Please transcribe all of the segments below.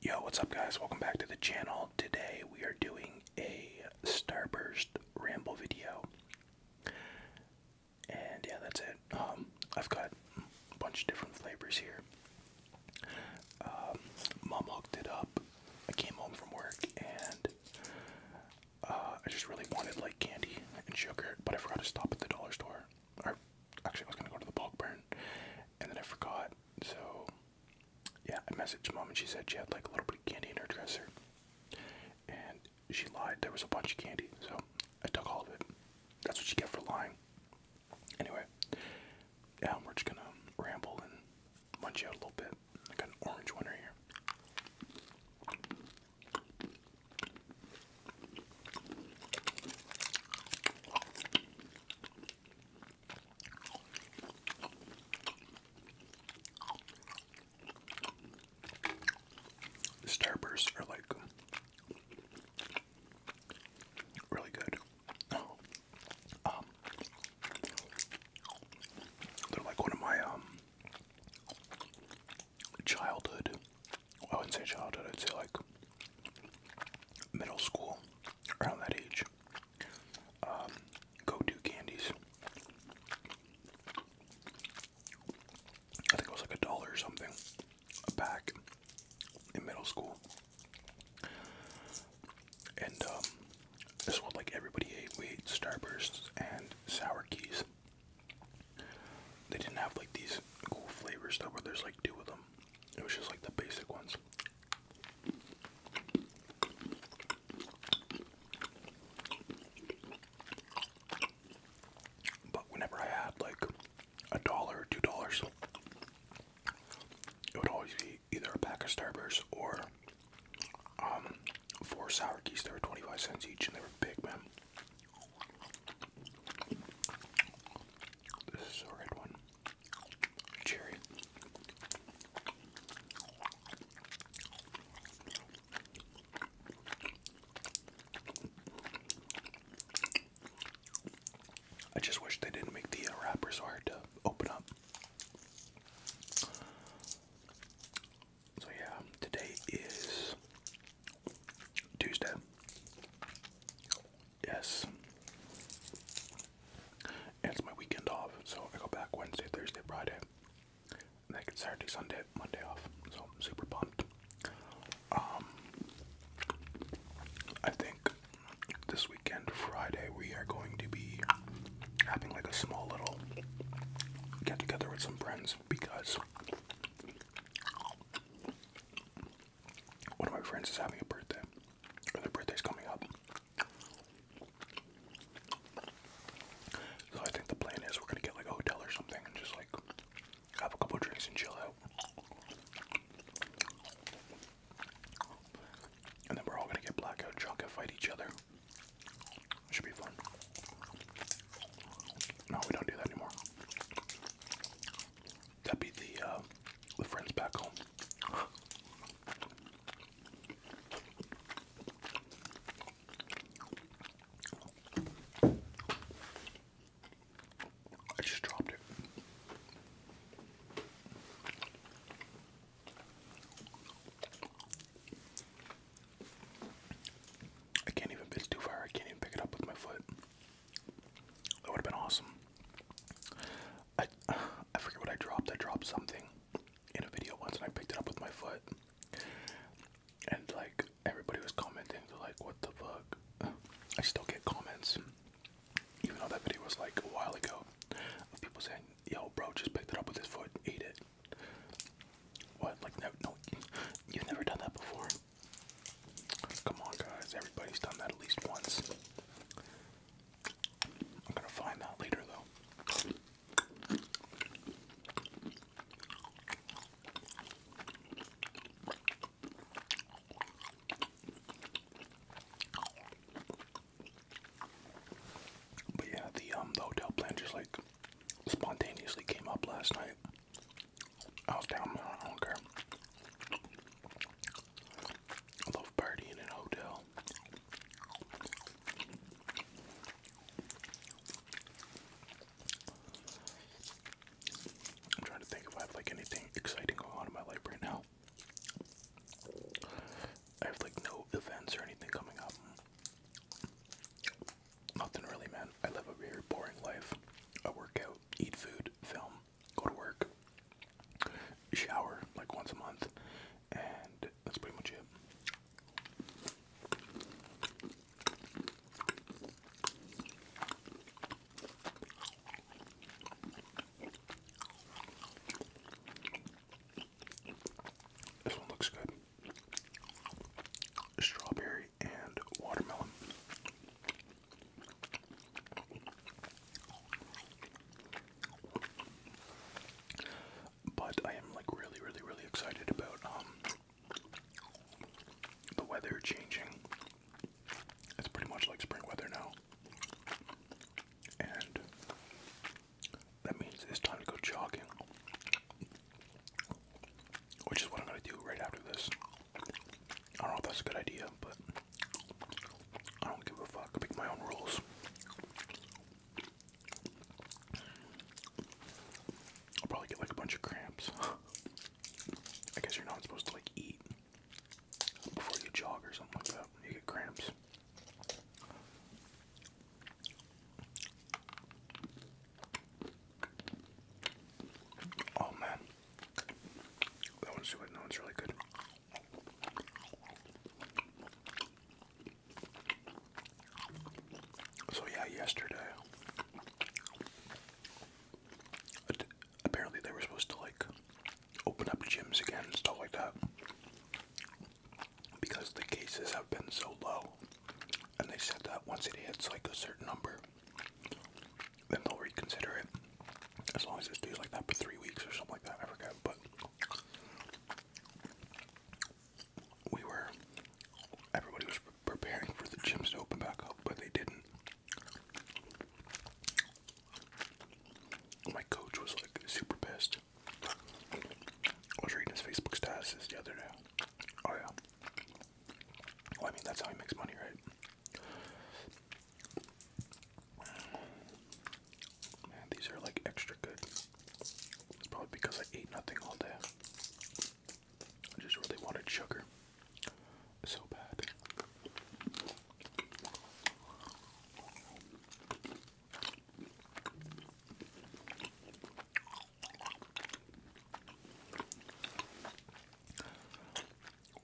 Yo, what's up guys? Welcome back to the channel. Today we are doing a Starburst ramble video. And yeah, that's it. Um, I've got a bunch of different flavors here. Um, Mom hooked it up. I came home from work and uh, I just really wanted like candy and sugar, but I forgot to stop at the dollar store. Or actually I was gonna go to the bulk barn, and then I forgot so, yeah, I messaged mom and she said she had like a little bit of candy in her dresser. And she lied. There was a bunch of candy. So I took all of it. That's what you get for lying. Anyway, yeah, we're just gonna ramble and munch out a little bit. I got an orange one right here. The starbursts are like really good. Oh. Um, they're like one of my um, childhood. I wouldn't say childhood. I'd say like middle school around that age. Um, go-to candies. I think it was like a dollar or something a pack in middle school. And um, this is like everybody ate. We ate Starbursts and Sour Keys. They didn't have like these cool flavors though, where there's like two of them. It was just like the basic ones. But whenever I had like a dollar or two dollars, it would always be either a pack of Starburst or um, four sour keys. They were 25 cents each and they were big, man. This is a red one. Cherry. I just wish they didn't make the uh, wrappers hard to open up. So, yeah, today is Tuesday. Yes. And it's my weekend off, so I go back Wednesday, Thursday, Friday. And I get Saturday, Sunday, Monday off. So I'm super pumped. Um I think this weekend, Friday, we are going to be having like a small little get together with some friends because one of my friends is having a birthday. Their birthday's coming up. So I think the plan is we're gonna get like a hotel or something and just like have a couple drinks and chill out. And then we're all gonna get blackout drunk and fight each other. should be fun. No, we don't do that anymore. That'd be the uh, the friends back home. I just dropped it. I can't even, it's too far, I can't even pick it up with my foot. That would have been awesome. I I forget what I dropped. I dropped something in a video once, and I picked it up with my foot. And like everybody was commenting, they're like, "What the fuck?" I still get comments, even though that video was like a while ago, people saying, "Yo, bro, just picked it up with his foot, ate it." What? Like no, no, you've never done that before. Come on, guys. Everybody's done that at least once. I'm gonna find that later though. But yeah, the um the hotel plan just like spontaneously came up last night. I was down, I don't care. I love partying in a hotel. I'm trying to think if I have like anything exciting going on in my life right now. I have like no events or anything coming up. Nothing really, man. I live a very boring life. I work out, eat food, film, go to work, shower like once a month, and that's pretty much it. This one looks good. Strawberry and watermelon. But I am like really, really, really excited about um, the weather changing. It's pretty much like spring weather now. And that means it's time to go jogging. Which is what I'm gonna do right after this. I don't know if that's a good idea, but I don't give a fuck. I make my own rules. I'll probably get like a bunch of cramps. I guess you're not supposed to like eat before you jog or something like that. You get cramps. Oh man. That one's good. That one's really good. So yeah, yesterday apparently they were supposed to like open up gyms again stuff like that because the cases have been so low. And they said that once it hits like a certain number, then they'll reconsider it as long as it stays like that for three weeks or something like that. I forget, but we were everybody was preparing for the gyms to open back up, but they didn't. My coach was like super pissed. I was reading his Facebook statuses the other day. Oh yeah. I mean that's how he makes money, right? Man, these are like extra good. It's probably because I ate nothing all day. I just really wanted sugar so bad.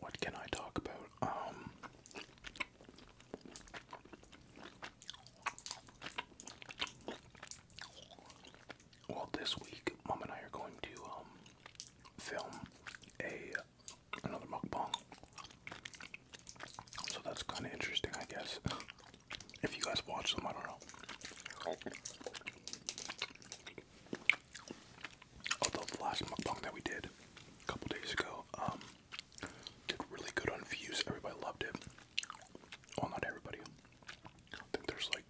What can I talk about? Um Well, this week, Mom and I are going to um film a another mukbang. So that's kind of interesting, I guess. if you guys watch them, I don't know. Although the last mukbang that we did a couple days ago um, did really good on views. Everybody loved it. Well, not everybody. I think there's like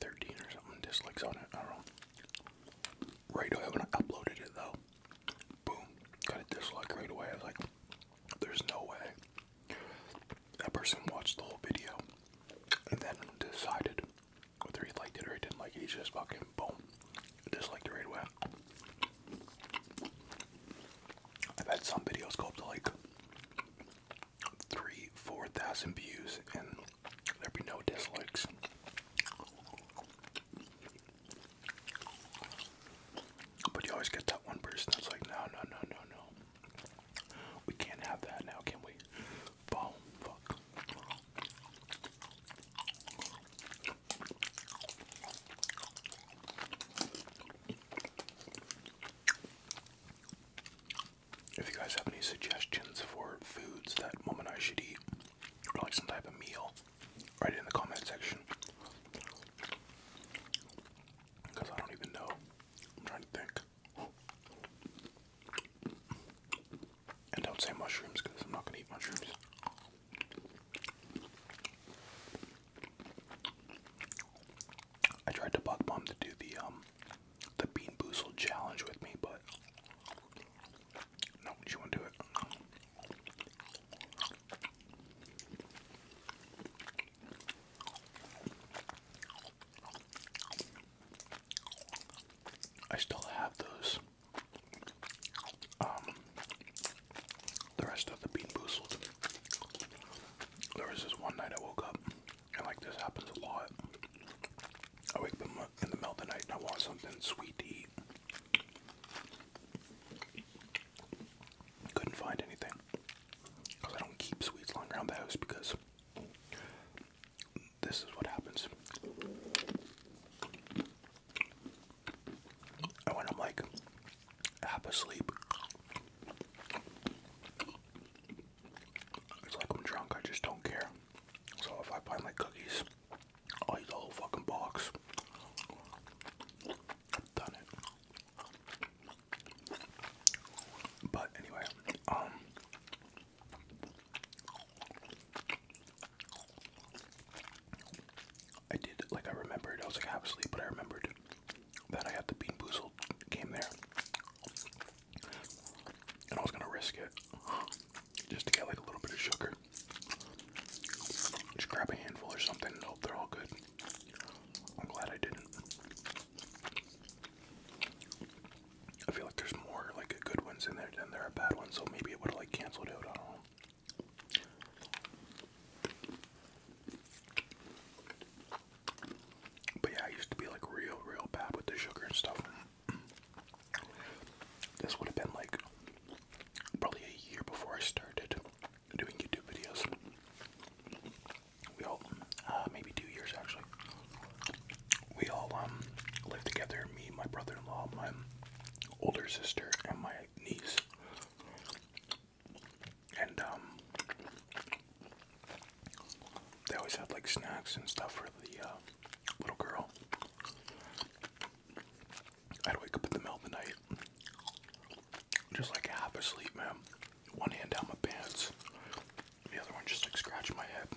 13 or something dislikes on it. I don't know. Right when I uploaded it though, boom, got a dislike right away. I was like, there's no way. That person watched the whole video and then decided whether he liked it or he didn't like it, he just fucking boom, disliked it right away. I've had some videos go up to like three, four thousand views, and there'd be no dislikes. But you always get that one person that's like, no, no, no, no, no. We can't have that now, can we? If you guys have any suggestions for foods that mom and I should eat, like some type of meal, write it in the comment section. Because I don't even know. I'm trying to think. And don't say mushrooms because I'm not going to eat mushrooms. I tried to bug mom to do the um the bean boozle challenge with me, but no, she won't do it. I still have those. Um, the rest of the bean boozled. There was this one night I woke up, and like this happens a lot. I wake up in the middle of the night and I want something sweet to eat. Couldn't find anything because I don't keep sweets around the house because this is what happens. I when I'm like half asleep, it's like I'm drunk, I just don't care. So if I find like cookies, I'll eat the whole fucking box. I've done it. But anyway, um, I did like I remembered I was like half asleep, but I remembered that I had the Bean Boozled game there, and I was gonna risk it just to get like a little bit of sugar. Just grab a handful or something Nope, they're all good. I'm glad I didn't. I feel like there's more like good ones in there than there are bad ones, so maybe it would have like canceled out. But yeah, I used to be like real, real bad with the sugar and stuff. This would have been like probably a year before I started doing YouTube videos. We all, uh, maybe two years actually we all um, live together. Me, my brother-in-law, my older sister, and my niece. And um, they always had like snacks and stuff for the uh, little girl. I'd wake up in the middle of the night, just like half asleep, man. One hand down my pants, the other one just like scratching my head,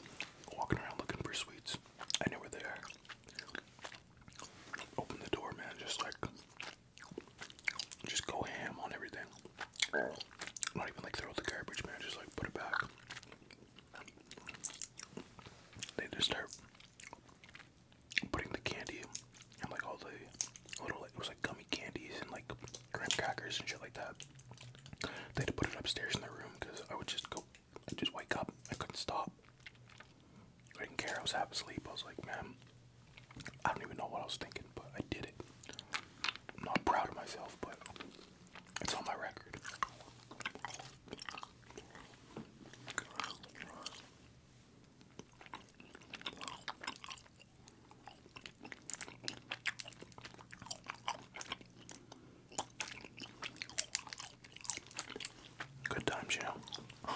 walking around looking for sweets. I knew where they are. Open the door, man. Just like, just go ham on everything. Not even like throw out the garbage, man. Just like put it back. They just start putting the candy and like all the little, like, it was like gummy candies and like graham crackers and shit like that. They had put it upstairs in their room because I would just go, just wake up. I couldn't stop. I didn't care. I was half asleep. I was like, man, I don't even know what I was thinking, but I did it. I'm not proud of myself, but it's on my record. Good times, you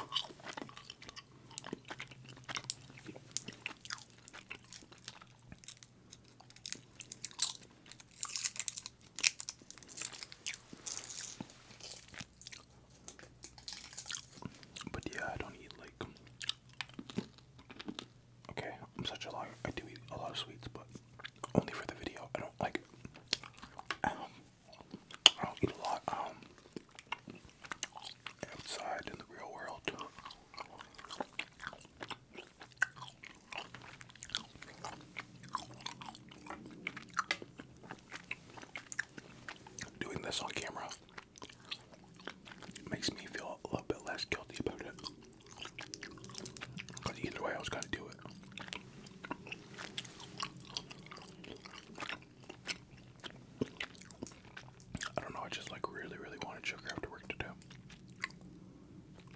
But yeah, I don't eat like Okay, I'm such a liar. I do eat a lot of sweets, but only for the video. I don't like. Um, I don't eat a lot um, outside in the real world. Doing this on camera makes me feel a little bit less guilty about it. Cause either way, I was gonna do it. I don't know. I just like really, really wanted sugar after work today.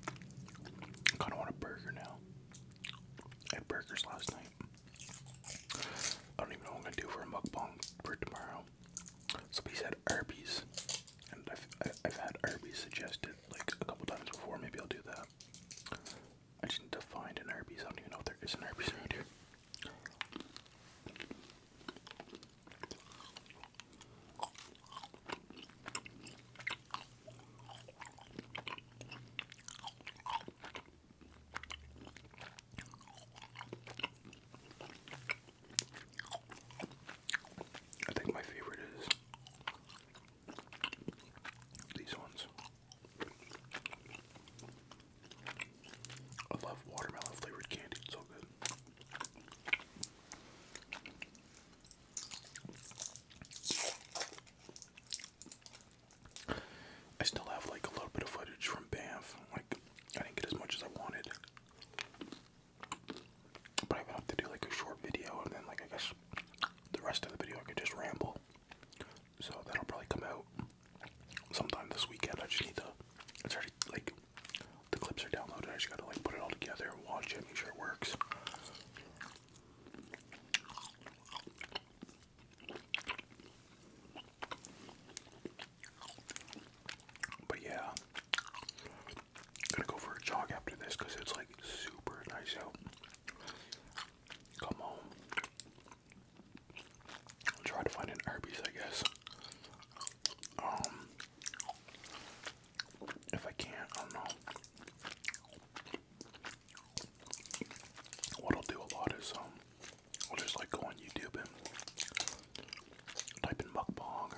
I kind of want a burger now. had burgers last night. I don't even know what I'm gonna do for a mukbang for tomorrow. Somebody said Arby's. And I've, I've had Arby's suggested like a couple times before. Maybe I'll do that. I just need to find an Arby's. I don't even know if there is an Arby's around here. I think my favorite is these ones. I love watermelon flavored candy, it's so good. I still have like a little bit of footage from Banff. Like I didn't get as much as I wanted. But I would have to do like a short video, and then like I guess the rest of the video I could just ramble. So that'll probably come out sometime this weekend. I just need to. It's already like the clips are downloaded. I just gotta like put it all together, watch it, make sure it works. But yeah, I'm gonna go for a jog after this because it's like super nice out. Come home. try to find an Arby's, I guess. Um, if I can't, I don't know. What I'll do a lot is um, I'll just like go on YouTube and type in mukbang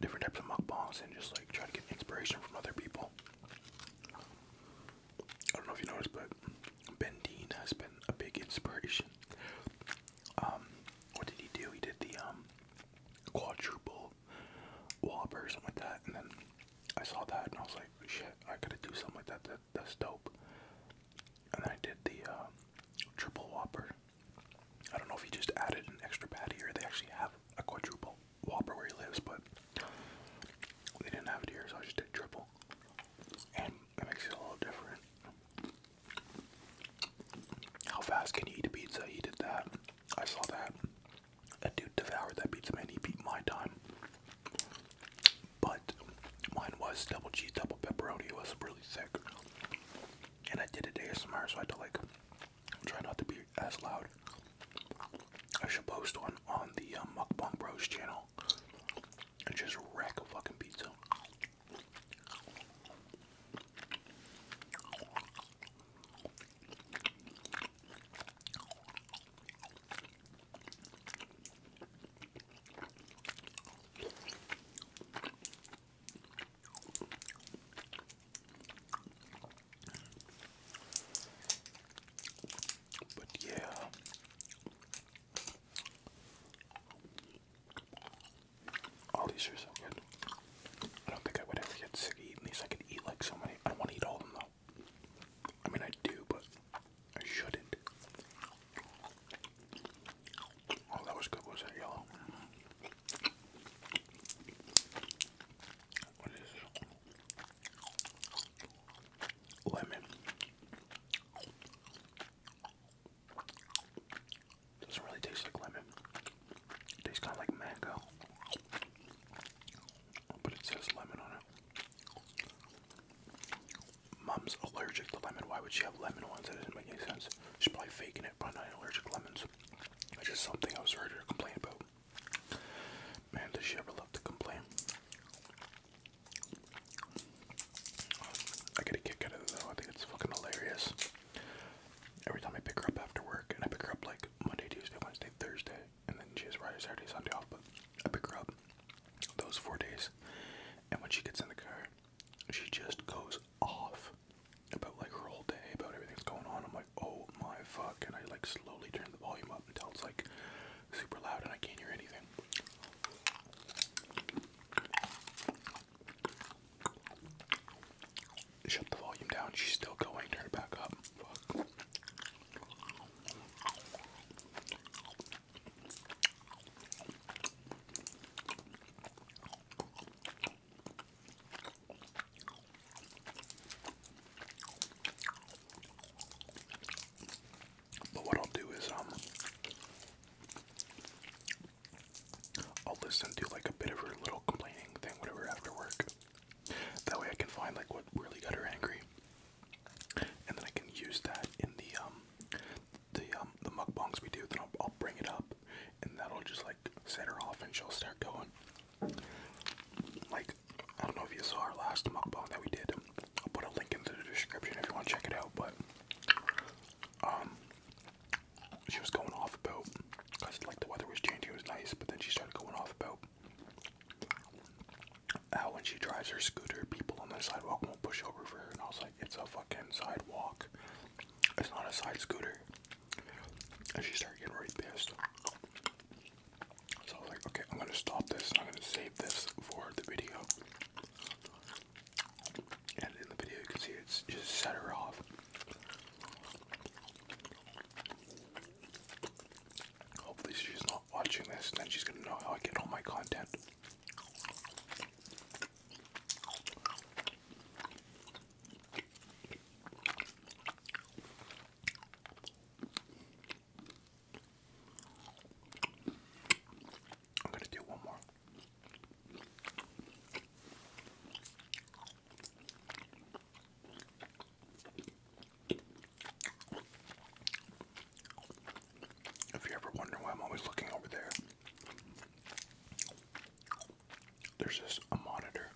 different types of mukbangs and just like try to get inspiration from other people. I don't know if you noticed, but Ben Dean has been a big inspiration. Um, what did he do? He did the um, quadruple whopper or something like that, and then I saw that and I was like, shit, I gotta do something like that. That that's dope. And then I did the um, triple whopper. I don't know if he just added an extra patty or they actually have a quadruple whopper where he lives, but they didn't have it here, so I just did triple. And it makes it a little different. How fast can you eat a pizza? He did that. I saw that. a dude devoured that pizza, man. He beat my time. But mine was double cheese, double pepperoni. It was really thick. And I did it ASMR, so I had to like I'm trying not to be as loud. I should post one on the um, Mukbang Bros channel and just wreck a fucking pizza. But yeah. All these are so good. I don't think I would ever get sick of eating these. I can eat like so many. I want to eat all of them though. I mean, I do, but I shouldn't. Oh, that was good. What was that yellow? What is Lemon. Doesn't really taste like lemon. It tastes kind of like mango. But it says lemon on it. Mom's allergic to lemon. Why would she have lemon ones? That doesn't make any sense. She's probably faking it, but not allergic to lemons else. It's just something I was ready to complain about. Man, does she ever love to complain? I get a kick out of it I think it's fucking hilarious. Every time I pick her up after work, and I pick her up like Monday, Tuesday, Wednesday, Thursday, and then she has Friday, Saturday, Sunday off, but I pick her up those four days. And when she gets in the car, she just goes off about like her whole day, about everything going on. I'm like, oh my fuck, and I like slowly turn the volume up until it's like super loud and I can't hear anything. Shut the volume down. She's still going. Turn it back up. Fuck. But what I'll do is um I'll listen to like a bit of her little complaining thing, whatever after work. That way I can find like what really got her angry. And then I can use that in the um the um the mukbangs we do, then I'll, I'll bring it up and that'll just like set her off and she'll start going. Like, I don't know if you saw our last mukbang that we did. I'll put a link into the description if you want to check it out, but um she was going off about because like the weather was changing, it was nice, but then she started going off about how when she drives her scooter, people on the sidewalk won't push over for her, and I was like, it's a fucking sidewalk. It's not a side scooter. And she started getting really pissed. So I was like, okay, I'm gonna stop this I'm gonna save this for the video. And in the video you can see it's just set her off. Hopefully she's not watching this and then she's gonna know how I get all my content. I'm going to do one more. If you ever wonder why I'm always looking over there, there's just a monitor.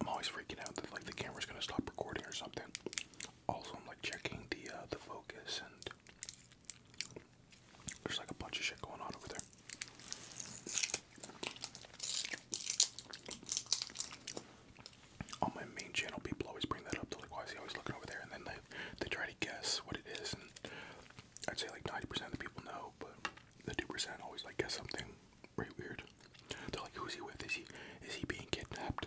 I'm always freaking out that like the camera's gonna stop recording or something. Also, I'm like checking the uh, the focus, and there's like a bunch of shit going on over there. On my main channel, people always bring that up. They're like, "Why is he always looking over there?" And then they they try to guess what it is, and I'd say like 90% of the people know, but the 2% always like guess something pretty weird. They're like, who's he with? Is he is he being kidnapped?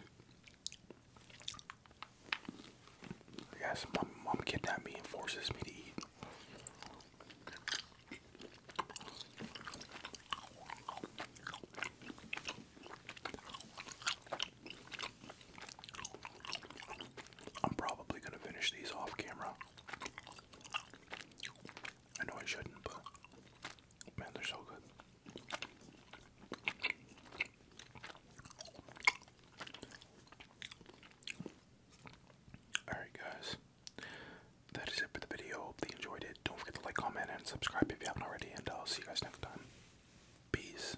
Yes, my mom kidnapped me and forces me to eat. I'm probably going to finish these off camera. I know I shouldn't, but man, they're so good. Alright, guys, that is it for the video. Hope you enjoyed it. Don't forget to like, comment, and subscribe if you haven't already, and I'll see you guys next time. Peace.